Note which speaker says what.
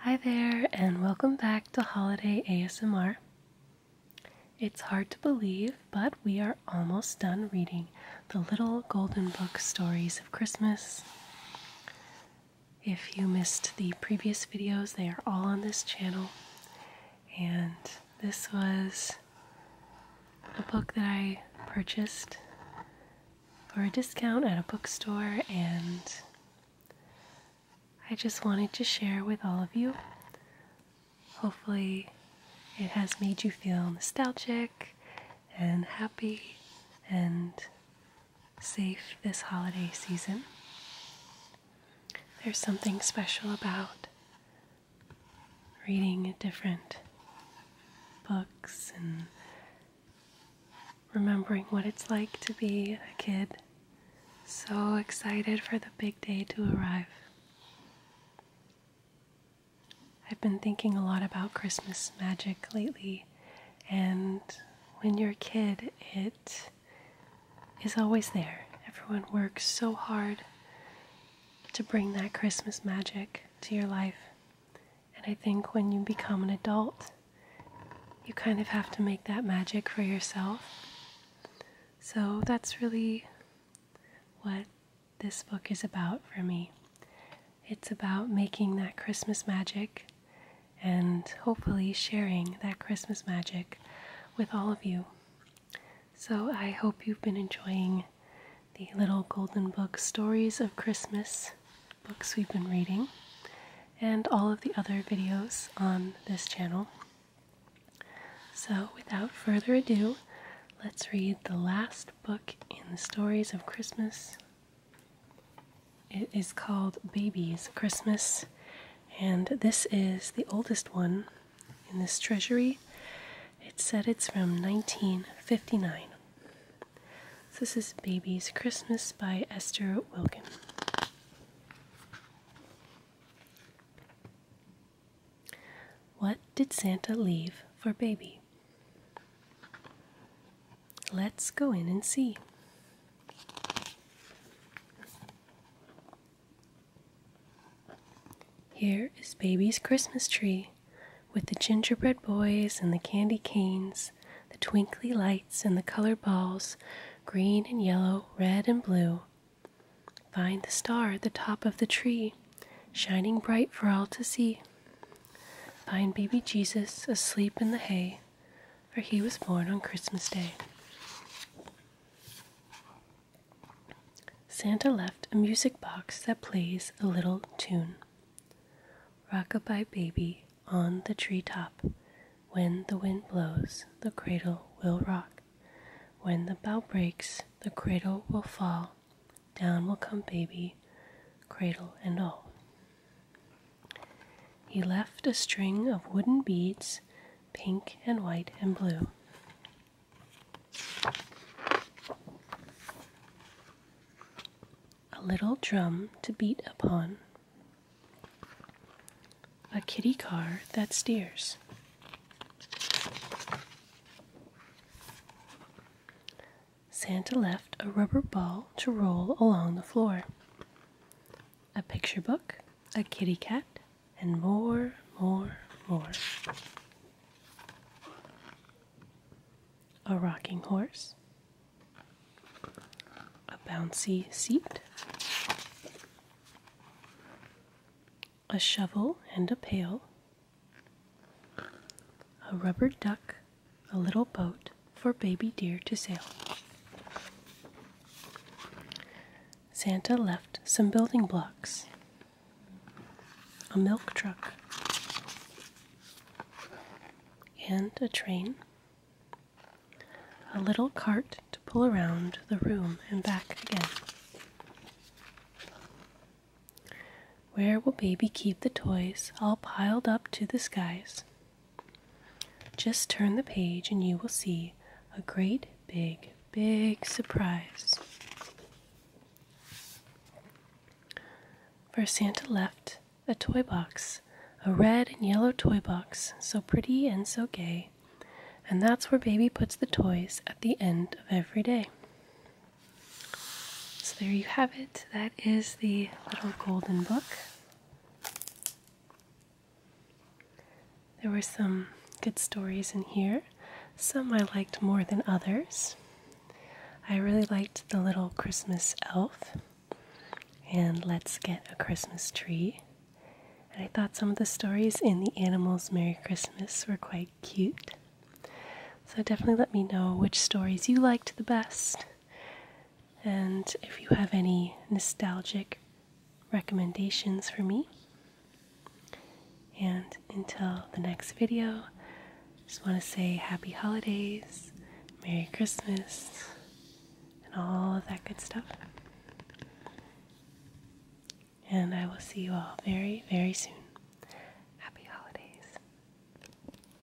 Speaker 1: Hi there, and welcome back to Holiday ASMR. It's hard to believe, but we are almost done reading the Little Golden Book Stories of Christmas. If you missed the previous videos, they are all on this channel. And this was a book that I purchased for a discount at a bookstore, and I just wanted to share with all of you. Hopefully, it has made you feel nostalgic and happy and safe this holiday season. There's something special about reading different books and remembering what it's like to be a kid. So excited for the big day to arrive. I've been thinking a lot about Christmas magic lately, and when you're a kid, it is always there. Everyone works so hard to bring that Christmas magic to your life. And I think when you become an adult, you kind of have to make that magic for yourself. So that's really what this book is about for me. It's about making that Christmas magic and hopefully sharing that Christmas magic with all of you. So I hope you've been enjoying the little Golden Book Stories of Christmas books we've been reading and all of the other videos on this channel. So without further ado, let's read the last book in the Stories of Christmas. It is called Babies Christmas, and this is the oldest one in this treasury. It said it's from 1959. this is Baby's Christmas by Esther Wilkin. What did Santa leave for Baby? Let's go in and see. Here is Baby's Christmas tree with the gingerbread boys and the candy canes, the twinkly lights and the colored balls, green and yellow, red and blue. Find the star at the top of the tree, shining bright for all to see. Find baby Jesus asleep in the hay, for he was born on Christmas Day. Santa left a music box that plays a little tune. Rockabye baby on the tree top, When the wind blows, the cradle will rock. When the bough breaks, the cradle will fall. Down will come baby, cradle and all. He left a string of wooden beads pink and white and blue. A little drum to beat upon. A kitty car that steers. Santa left a rubber ball to roll along the floor. A picture book a kitty cat, and more, more, more. A rocking horse, a bouncy seat, a shovel and a pail, a rubber duck, a little boat for baby deer to sail. Santa left some building blocks, a milk truck, and a train, a little cart to pull around the room and back again. Where will baby keep the toys all piled up to the skies? Just turn the page and you will see a great big, big surprise. For Santa left a toy box, a red and yellow toy box, so pretty and so gay. And that's where baby puts the toys at the end of every day. So there you have it. That is the little golden book. There were some good stories in here. Some I liked more than others. I really liked The Little Christmas Elf and Let's Get a Christmas Tree. And I thought some of the stories in The Animals Merry Christmas were quite cute. So definitely let me know which stories you liked the best and if you have any nostalgic recommendations for me. And until the next video, just want to say happy holidays, Merry Christmas, and all of that good stuff. And I will see you all very, very soon. Happy holidays.